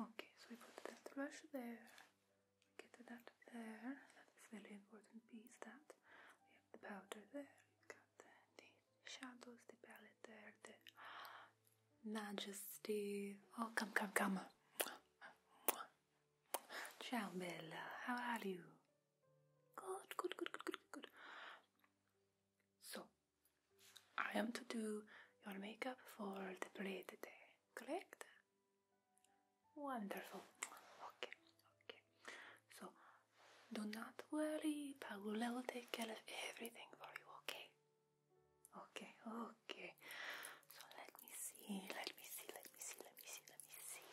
Okay, so we put the thrush there, we get that there, that is really important piece that we have the powder there, we got the, the shadows, the palette there, the majesty. Oh, come, come, come. Ciao, Bella. How are you? Good, good, good, good, good, good. So, I am to do your makeup for the play today, correct? Wonderful. Okay, okay. So, do not worry, Paula will take care of everything for you, okay? Okay, okay. So, let me see, let me see, let me see, let me see, let me see.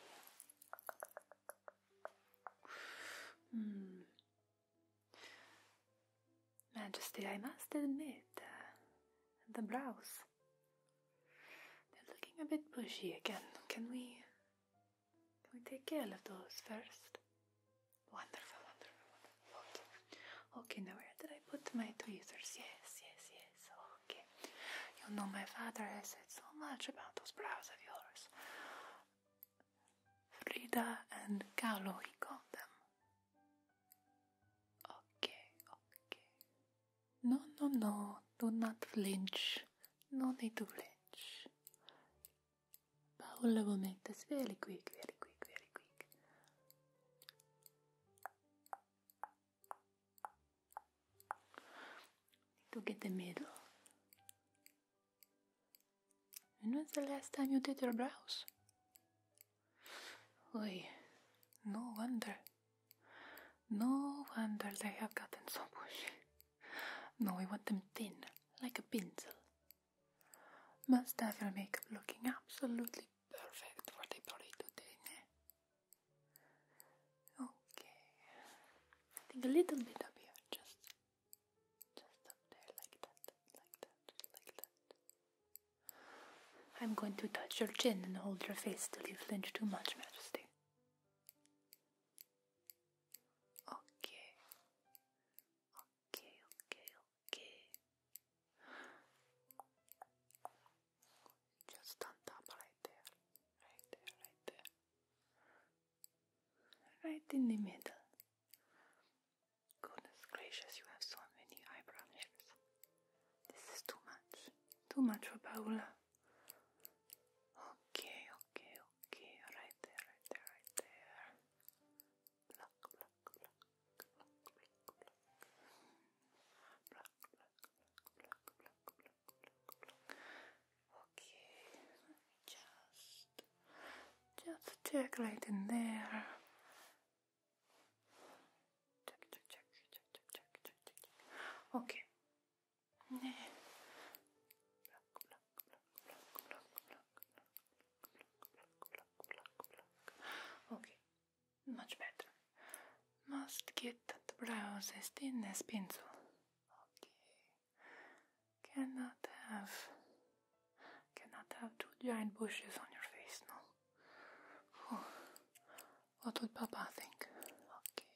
Hmm. Majesty, I must admit, uh, the brows. They're looking a bit bushy again. Can we. Can we take care of those first? Wonderful, wonderful, wonderful. Okay. Okay, now where did I put my tweezers? Yes, yes, yes. Okay. You know, my father has said so much about those brows of yours. Frida and Carlo, he called them Okay, okay. No, no, no, do not flinch. No need to flinch. Paula will make this very quick, very quick, very quick. Need to get the middle. And was the last time you did your brows? Oy, no wonder. No wonder they have gotten so bushy. No, we want them thin, like a pencil. Must have your makeup looking absolutely perfect for the party today. Ne? Okay, I think a little bit up here, just, just up there, like that, like that, like that. I'm going to touch your chin and hold your face till you flinch too much, Majesty. Okay. Okay, okay, okay. Just on top, right there. Right there, right there. Right in the middle. Goodness gracious, you have so many eyebrow hairs. This is too much. Too much for Paola. Okay, okay, okay. Right there, right there, right there. Pluck, pluck, pluck, pluck, pluck, pluck. Pluck, pluck, pluck, pluck, pluck, pluck, pluck. Okay, let me just, just check right in there. Okay. 네. Okay. Much better. Must get the brows as thin as pencil. Okay. Cannot have. Cannot have two giant bushes on your face, no. What would Papa think? Okay.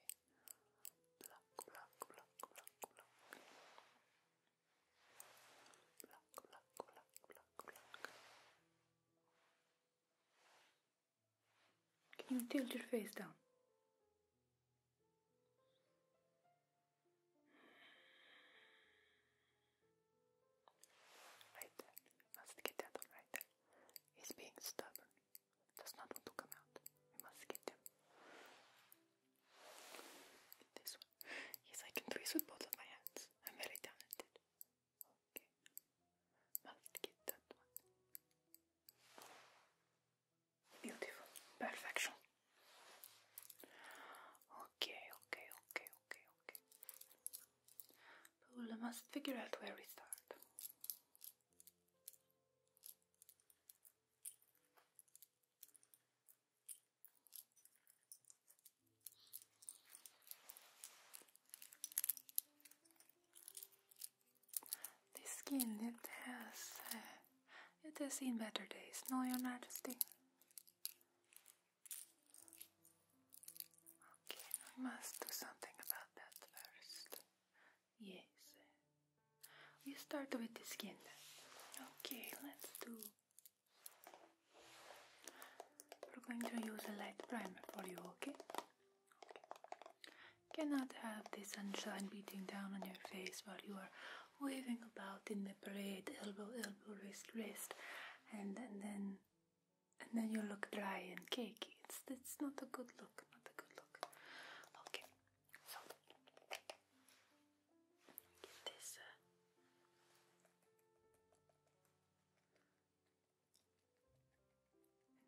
Can you tilt your face down? Right there. Must get that one right there. He's being stubborn. Does not want to come out. We must get him. Get this one. Yes, I can do this with both of my hands. I'm very talented. Okay. Must get that one. Beautiful. Perfection. Okay, okay, okay, okay, okay. But we must figure out where we start. This skin, it has, uh, it has seen better days, no, your majesty. Okay, I must do something about that first. Yes. We start with the skin. Okay, let's do. We're going to use a light primer for you, okay? Cannot have the sunshine beating down on your face while you are waving about in the parade, elbow, elbow, wrist, wrist, and, and then and then you look dry and cakey. It's it's not a good look. Not a good look. Okay, so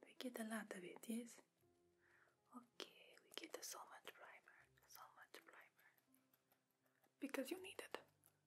we get a lot of it. Yes. Okay, we get so much primer, so much primer, because you need it.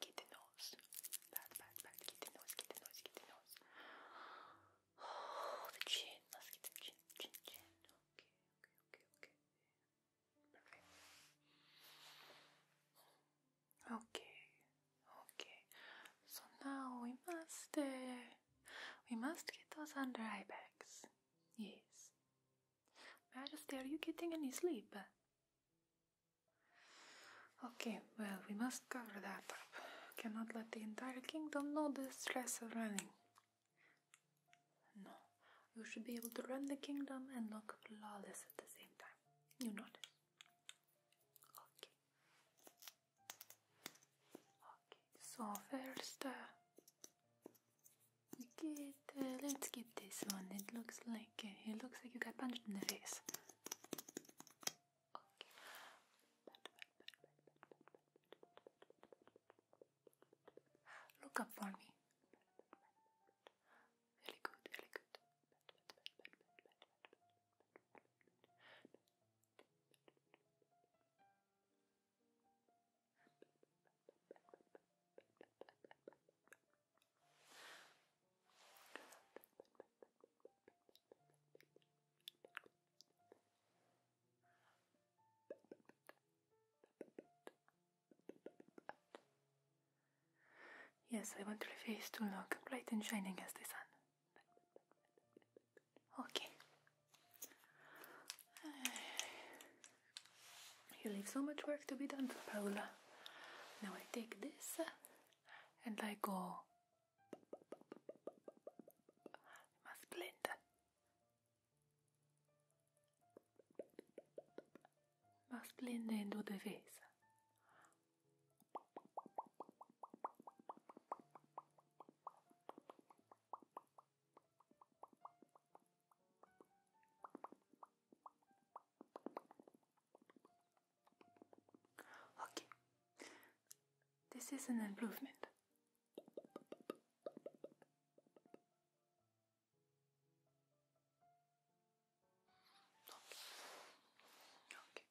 Kitty nose. Bad, bad, bad. Kitty nose, kitty nose, kitty nose. Oh, the chin. let get the chin, chin, chin. Okay, okay, okay, okay. Okay, okay. So now we must, uh, we must get those under eye bags. Yes, Majesty, are you getting any sleep? Okay, well, we must cover that up. Cannot let the entire kingdom know the stress of running. No, you should be able to run the kingdom and look flawless at the same time. You notice. Okay. Okay, so first. Uh, Get, let's get this one. It looks like uh, it looks like you got punched in the face. Okay. Look up for me. Very good, very good. Yes, I want your face to look bright and shining as the sun. Okay. You leave so much work to be done for Paola. Now I take this and I go. must blend. Must blend into the face. Okay, this is an improvement. Okay. Okay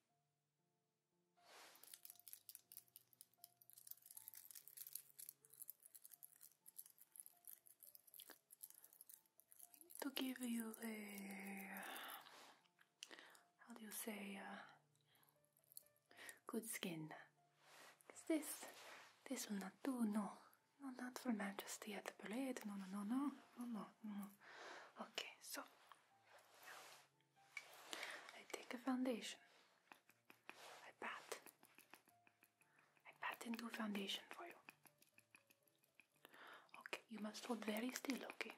to give you a how do you say uh, good skin. Cause this this will not do. No, no, not for Majesty at the parade. No, no, no, no, no, no, no. Okay, so I take a foundation. I pat. I patent new foundation for you. Okay, you must hold very still, okay?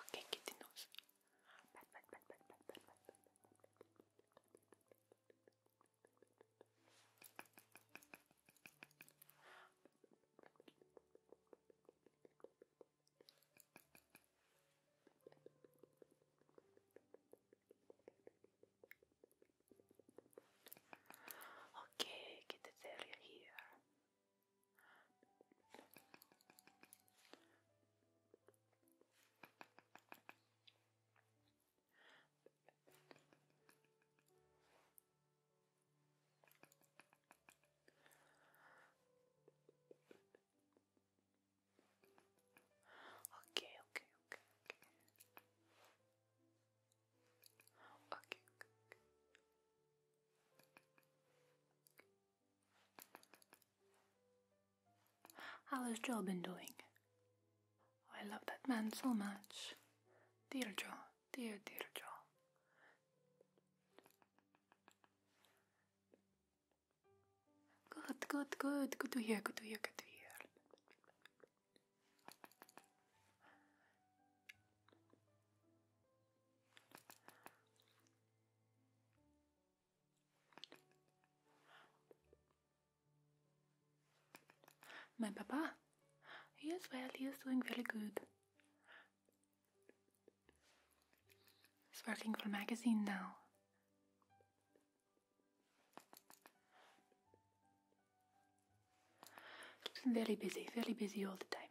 Okay, kitty nose. Pat, pat, pat, pat, pat, pat, pat, pat. Okay, Okay, get this area here. Okay, okay, okay, okay. Okay, okay, How has Joe been doing? Oh, I love that man so much. Dear Joe, dear, dear Joe. Good, good, good. Good to hear, good to hear, good to hear. My papa? He is well, he is doing very good. He's working for a magazine now very busy, very busy all the time.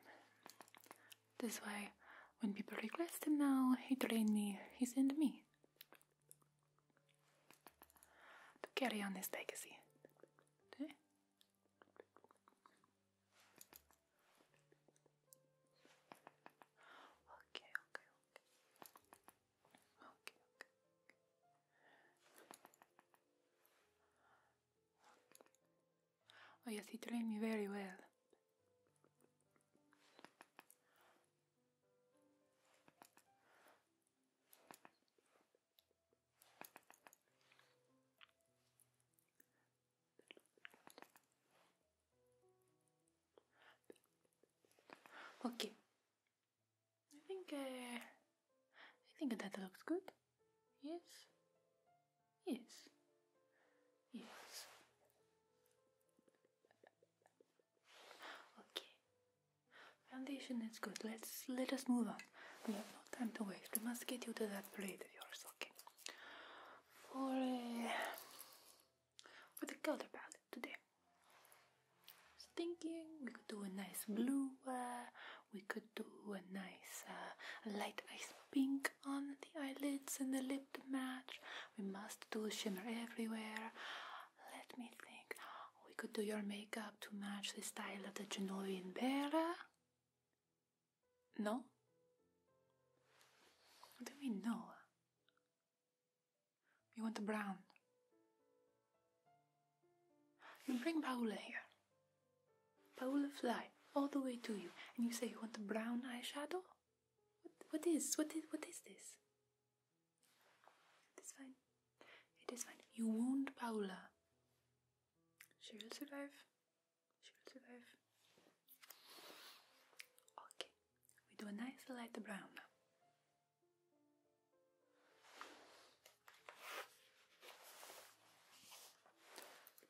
That's why when people request him now, he train me, he send me. To carry on his legacy. okay. Okay, okay. Oh yes, he trained me very well. Okay, I think uh, I think that looks good. Yes. Yes. Yes. Okay. Foundation is good. Let's let us move on. We have no time to waste. We must get you to that plate you are talking. For uh, with the color palette today. I was thinking we could do a nice blue, uh, we could do a nice uh, light ice pink on the eyelids and the lip to match. We must do shimmer everywhere. Let me think. We could do your makeup to match the style of the Genovian Vera. No? What do we know? You want a brown. You bring Paola here. Paola fly all the way to you, and you say you want a brown eyeshadow. what is? What is? What is this? It's fine. It is fine. You wound Paola. She will survive. She will survive. Okay. We do a nice light brown now.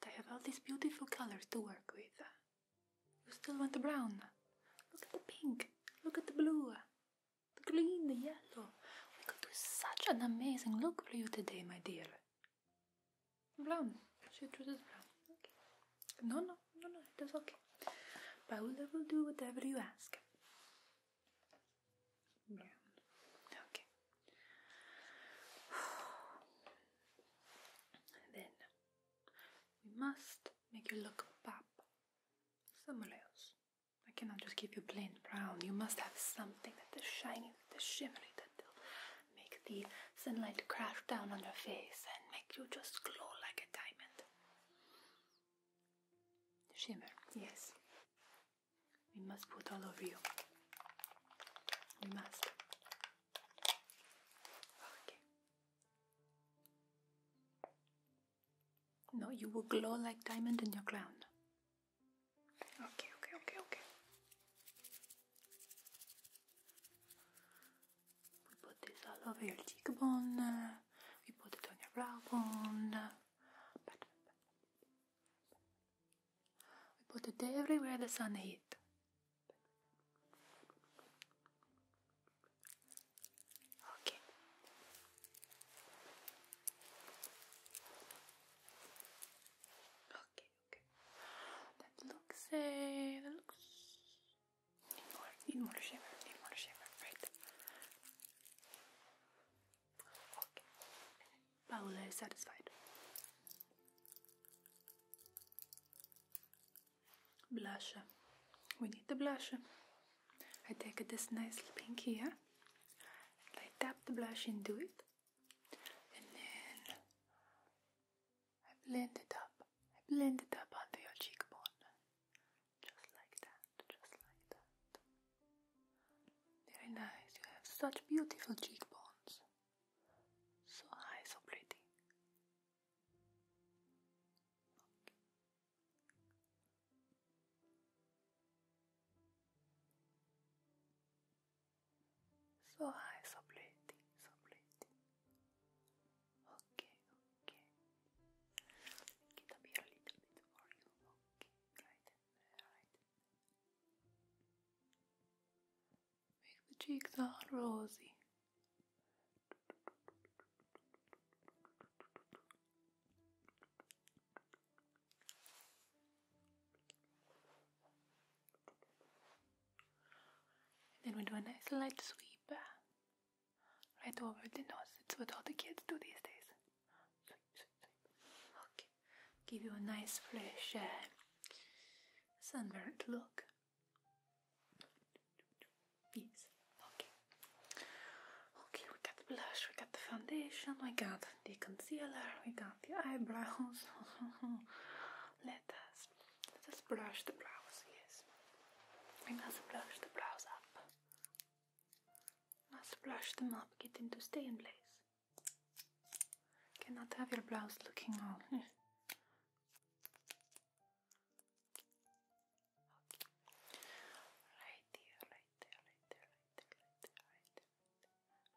I have all these beautiful colors to work with. You still want the brown? Look at the pink, look at the blue, the green, the yellow. We could do such an amazing look for you today, my dear. Brown. She chooses brown. Okay. No, no no, no, it is okay. Paula will do whatever you ask. Okay. then we must make you look pop somewhere else. I cannot just give you plain brown. You must have something that is shiny, that is shimmery, that will make the sunlight crash down on your face and make you just glow like a diamond. Shimmer, yes. We must put all of you. We must. Okay. No, you will glow like diamond in your crown. Okay, okay, okay, okay. We put this all over your cheekbone we put it on your brow bone. We put it everywhere the sun hit. Okay. Okay, okay. That looks That looks Need more shimmer, need more shimmer, right? Okay. Paola is satisfied. Blush. We need the blush. I take this nice pink here and I tap the blush into it and then I blend it up. I blend it up onto your cheekbone. Just like that, just like that. Very nice, you have such beautiful cheekbones. So high, so pretty. So high, so pretty, so pretty ok, ok I can appear a little bit for you, ok, right right make the cheeks all rosy then we do a nice light sweep right over the nose. It's what all the kids do these days. Sweep, sweep, sweep. Okay, give you a nice, fresh, uh, sunburnt look. Yes. Okay. Okay, we got the blush, we got the foundation, we got the concealer, we got the eyebrows. let us let us brush the brows. Yes. Let us brush the brows up. Must brush them up, get them to stay in place. Cannot have your blouse looking all. Right there, right there, right there, right there, right there, right there.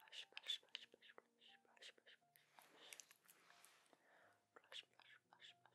brush, brush, brush, brush, brush, brush, brush, brush, brush, brush, brush, brush,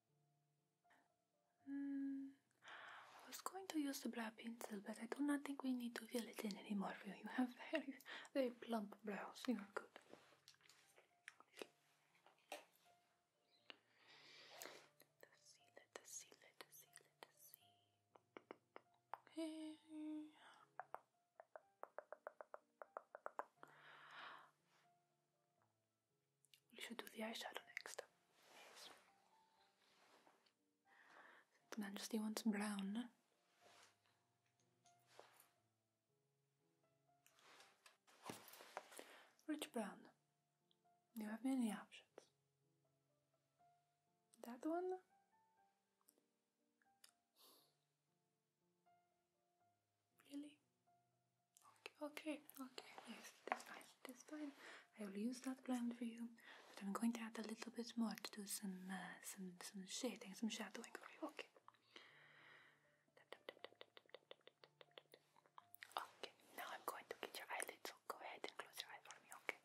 Hmm. I was going to use the black pencil, but I do not think we need to fill it in anymore. You have very, very plump brows. You are good. We should do the eyeshadow next. Yes. Majesty wants brown. Rich brown. You have many options. That one? Really? Okay, okay, yes, that's fine, that's fine. I will use that blend for you, but I'm going to add a little bit more to do some uh, some some shading, some shadowing Okay. Okay, now I'm going to get your eyelids. So go ahead and close your eyes for me. Okay.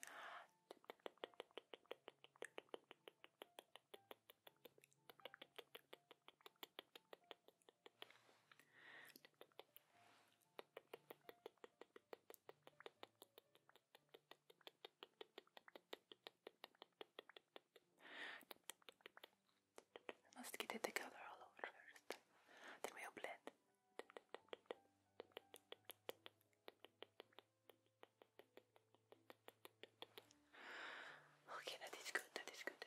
We must get it together all over first. Then we'll blend. Okay, that is good, that is good.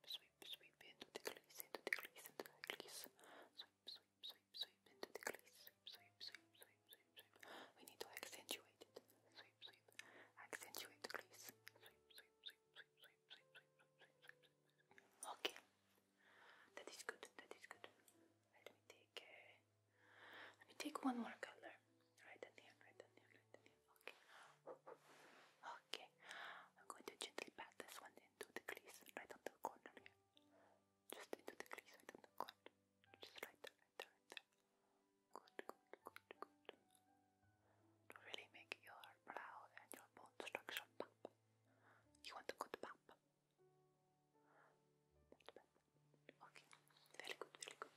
sweep, sweep into the crease, into the crease, into the crease. Sweep, sweep, sweep, sweep into the crease. Sweep, sweep, sweep, sweep, sweep, sweep. We need to accentuate it. Sweep, sweep. Accentuate the crease. Sweep, sweep, sweep, sweep, sweep, sweep, sweep, sweep, sweep, sweep. Okay. That is good. That is good. Let me take. let me take one more color. Right down here. Right down here. Right down here okay, okay. I'm going to gently pat this one into the crease right on the corner Just into the crease right on the corner. Just right there, right right Good, good, good, good. really make your brow and your bone structure pop. You want a good pop. Okay, very good, very good.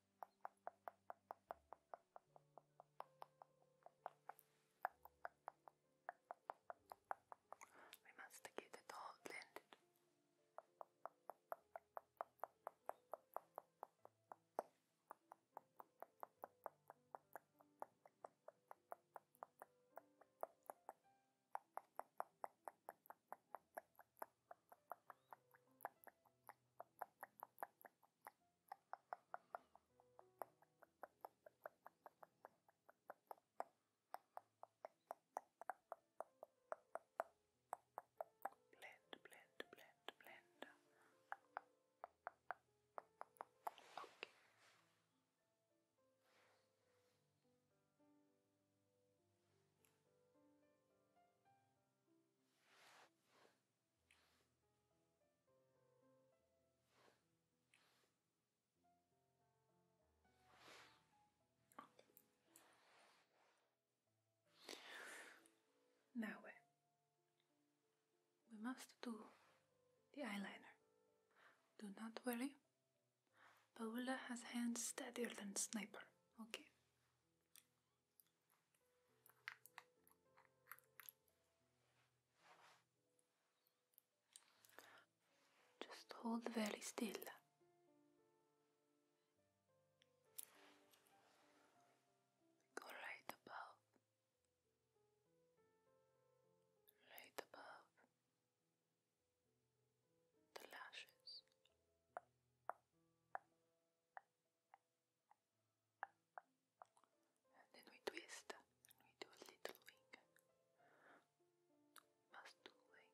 We must stick it all blended. Blend, blend, blend, blend. Okay. Now we must do the eyeliner. Do not worry. Paula has hands steadier than sniper, okay? Just hold very still. Go right above, right above the lashes and then we twist we do a little wing. must do wing.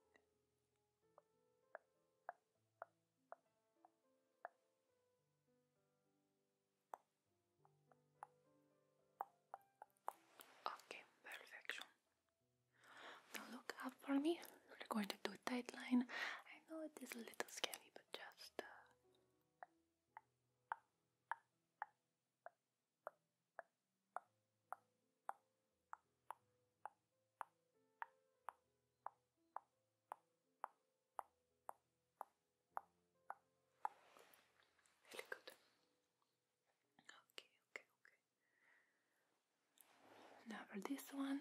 Okay, perfection. Now look up for me. We're going to do tight line. I know it is a little scary, but just uh, good. Okay, okay, okay. Now for this one,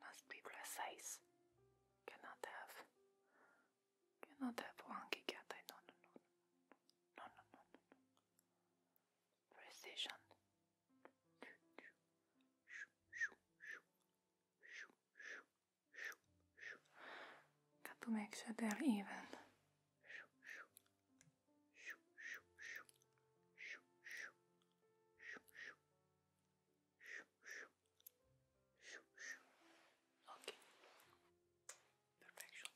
must be precise. Cannot have. Cannot have wonky cat. I no no no no no no no no. Precision. Got to make sure they're even shoo, shoo. Okay. Perfection.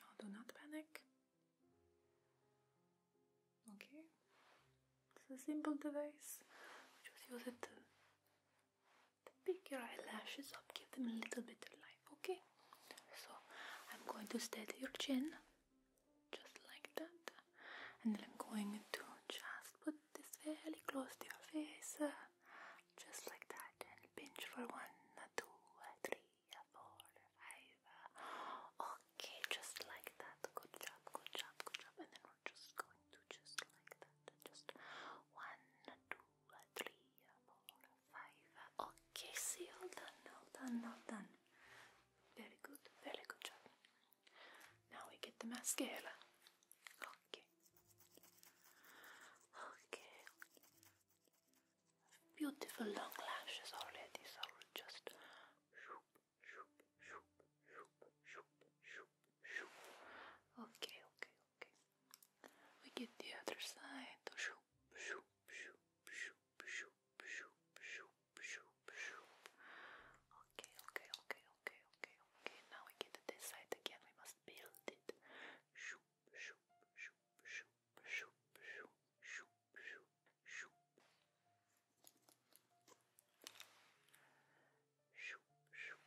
No, do not panic. Okay. It's a simple device. Just use it Pick your eyelashes up, give them a little bit of life, okay? So I'm going to steady your chin just like that, and then I'm going to just put this fairly close to your face, uh, just like that, and pinch for one, two, three, four, five. Okay, just like that. Good job, good job, good job. And then we're just going to just like that just one, two, three, four, five. Okay, see, all done, all done, all done. Very good, very good job. Now we get the mascara. Okay. Okay. Beautiful long lashes already, so just Okay, okay, okay. We get the other side. Okay, okay, okay, okay, okay, okay. Now we get to this side again. We must build it shoop, shoop, shoop,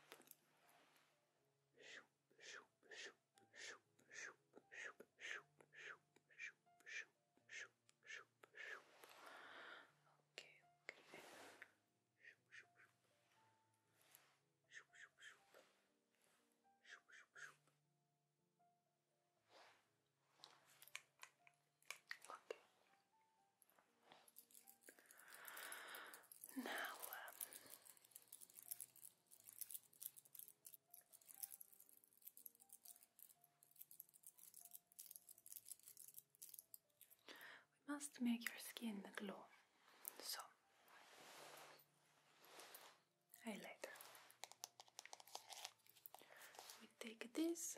Okay, okay. Okay. Now, um, we must make your skin glow, so highlighter. We take this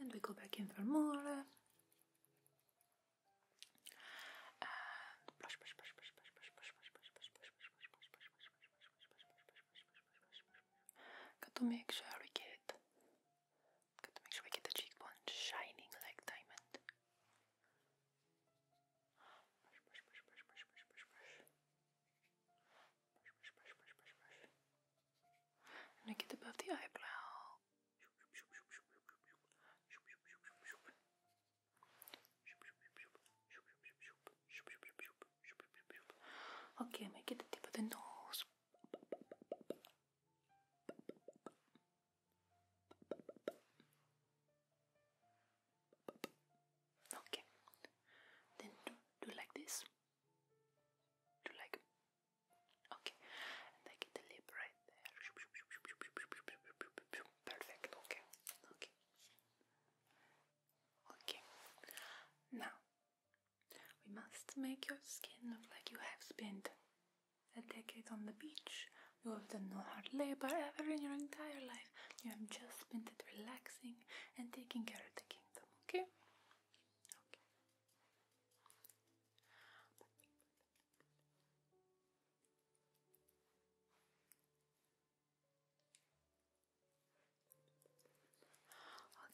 And we go back in for more. And push, push, to get. the cheekbone shining like diamond and I get above the eyebrow. Okay, make it the tip of the nose. Okay, then do like this. Do like Okay, and the lip right there. Perfect, okay, okay. Okay, now we must make your skin look like you have spent a decade on the beach. You have done no hard labor ever in your entire life. You have just spent it relaxing and taking care of the kingdom, Okay.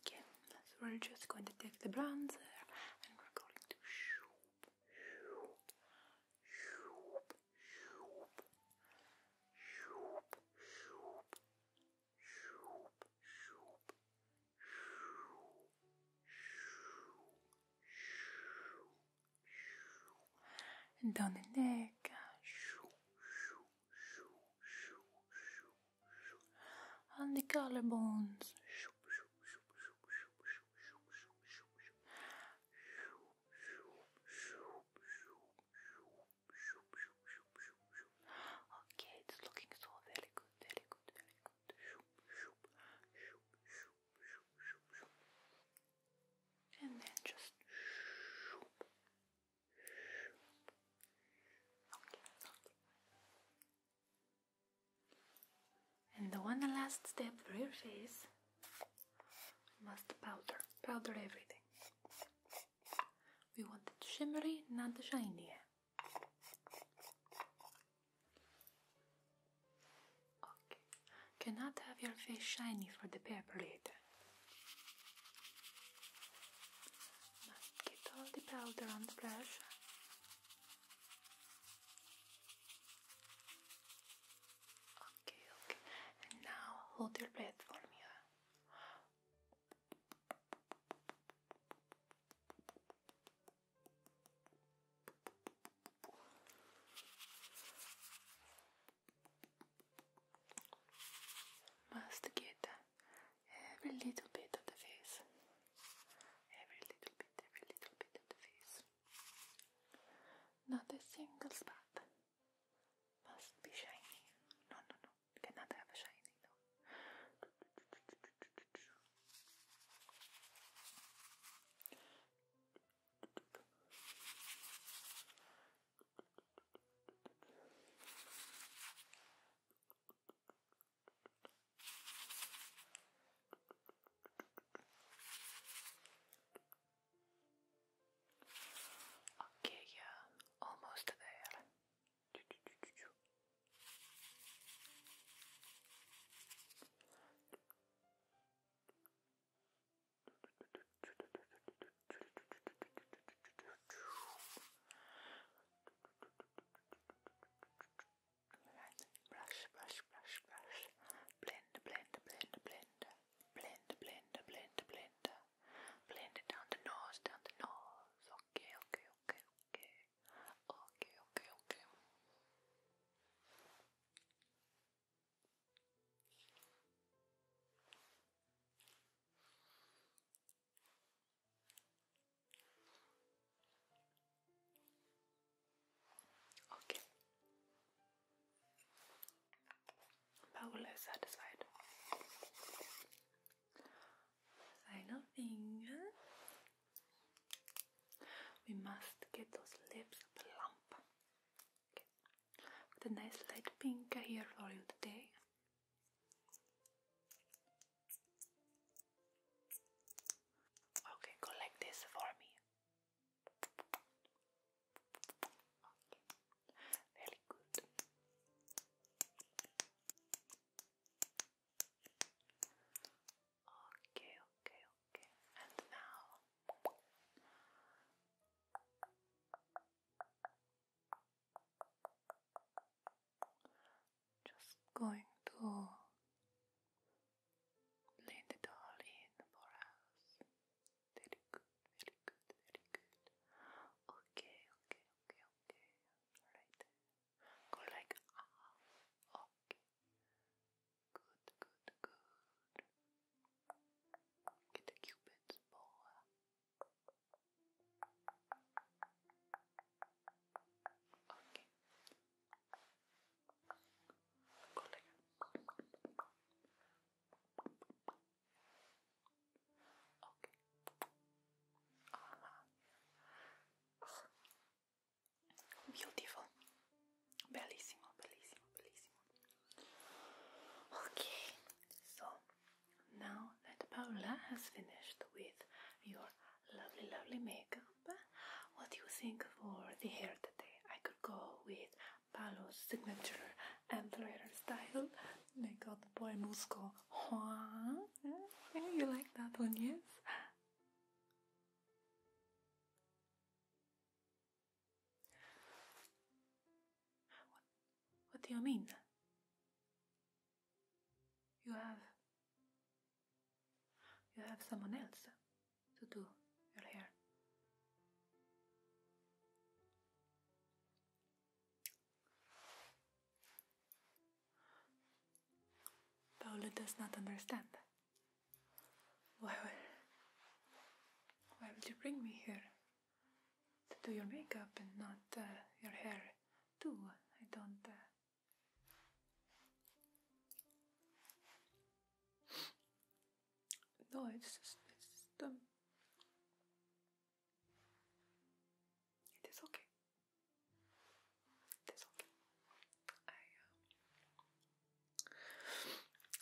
Okay, so we're just going to take the bronzer and we're going to and down the neck on the collarbones Okay, it's looking so very good, very good, very and then just and the one last step for your face must powder powder everything we want it shimmery not shiny Cannot have your face shiny for the paper later. get all the powder on the brush. Okay, okay. And now hold your breath for me. Must get every little bit of the face. Every little bit, every little bit of the face. Not a single spot. Must be shiny. No, no, no. cannot have shiny, Okay, yeah, almost there. Alright, brush, brush, brush, brush. Blend, blend, blend, blend. Blend, blend, blend, blend. Blend it down the nose, down the nose. Okay, okay, okay, okay. Okay, okay, okay. Okay. Paula is satisfied. Final finger. We must get those lips plump. Okay. With a nice light pink here for you today. Okay, go this for me. very good. Okay, okay, okay. And now just going to blend it all in for us. Very good, very good, very good. Okay, okay, okay, okay. Right. Go like, ah, okay. Good, good, good. Get the cupid's bow. Okay. Go like. Okay. Uh Beautiful. Bellissimo, bellissimo, bellissimo. Okay, so now that Paola has finished with your lovely, lovely makeup, what do you think for the hair today? I could go with Paolo's signature employer style the boy Musco. You like that one, yes? What, do you mean? You have. You have someone else to do your hair. Paula does not understand. Why would, why would you bring me here? To do your makeup and not uh, your hair too. I don't... Uh. No, it's just, it's just, um, it is okay. That's okay. I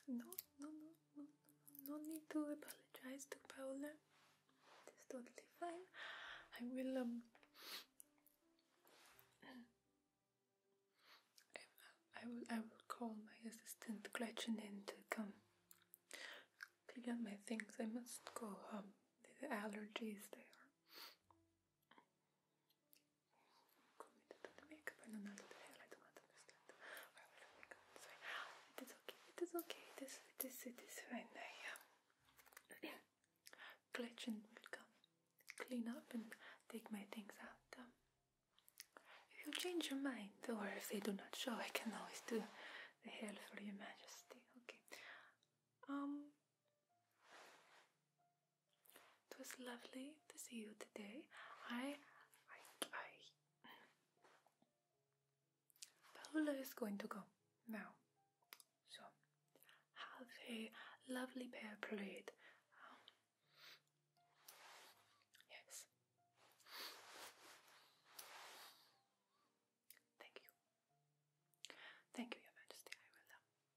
uh, no no no no no no need to apologize to Paola. It's totally fine. I will um, I, will I will call my assistant Gretchen in to come pick up my things. I must go home. The allergies there. It is okay, it is okay, it is, it is, fine i yeah. will clean up and take my things out. if you change your mind, or if they do not show, I can always do the hair for your majesty, okay. It was lovely to see you today. I, I, I. is going to go now. So, have a lovely bear parade. Um, yes. Thank you. Thank you, Your Majesty. I will. Um,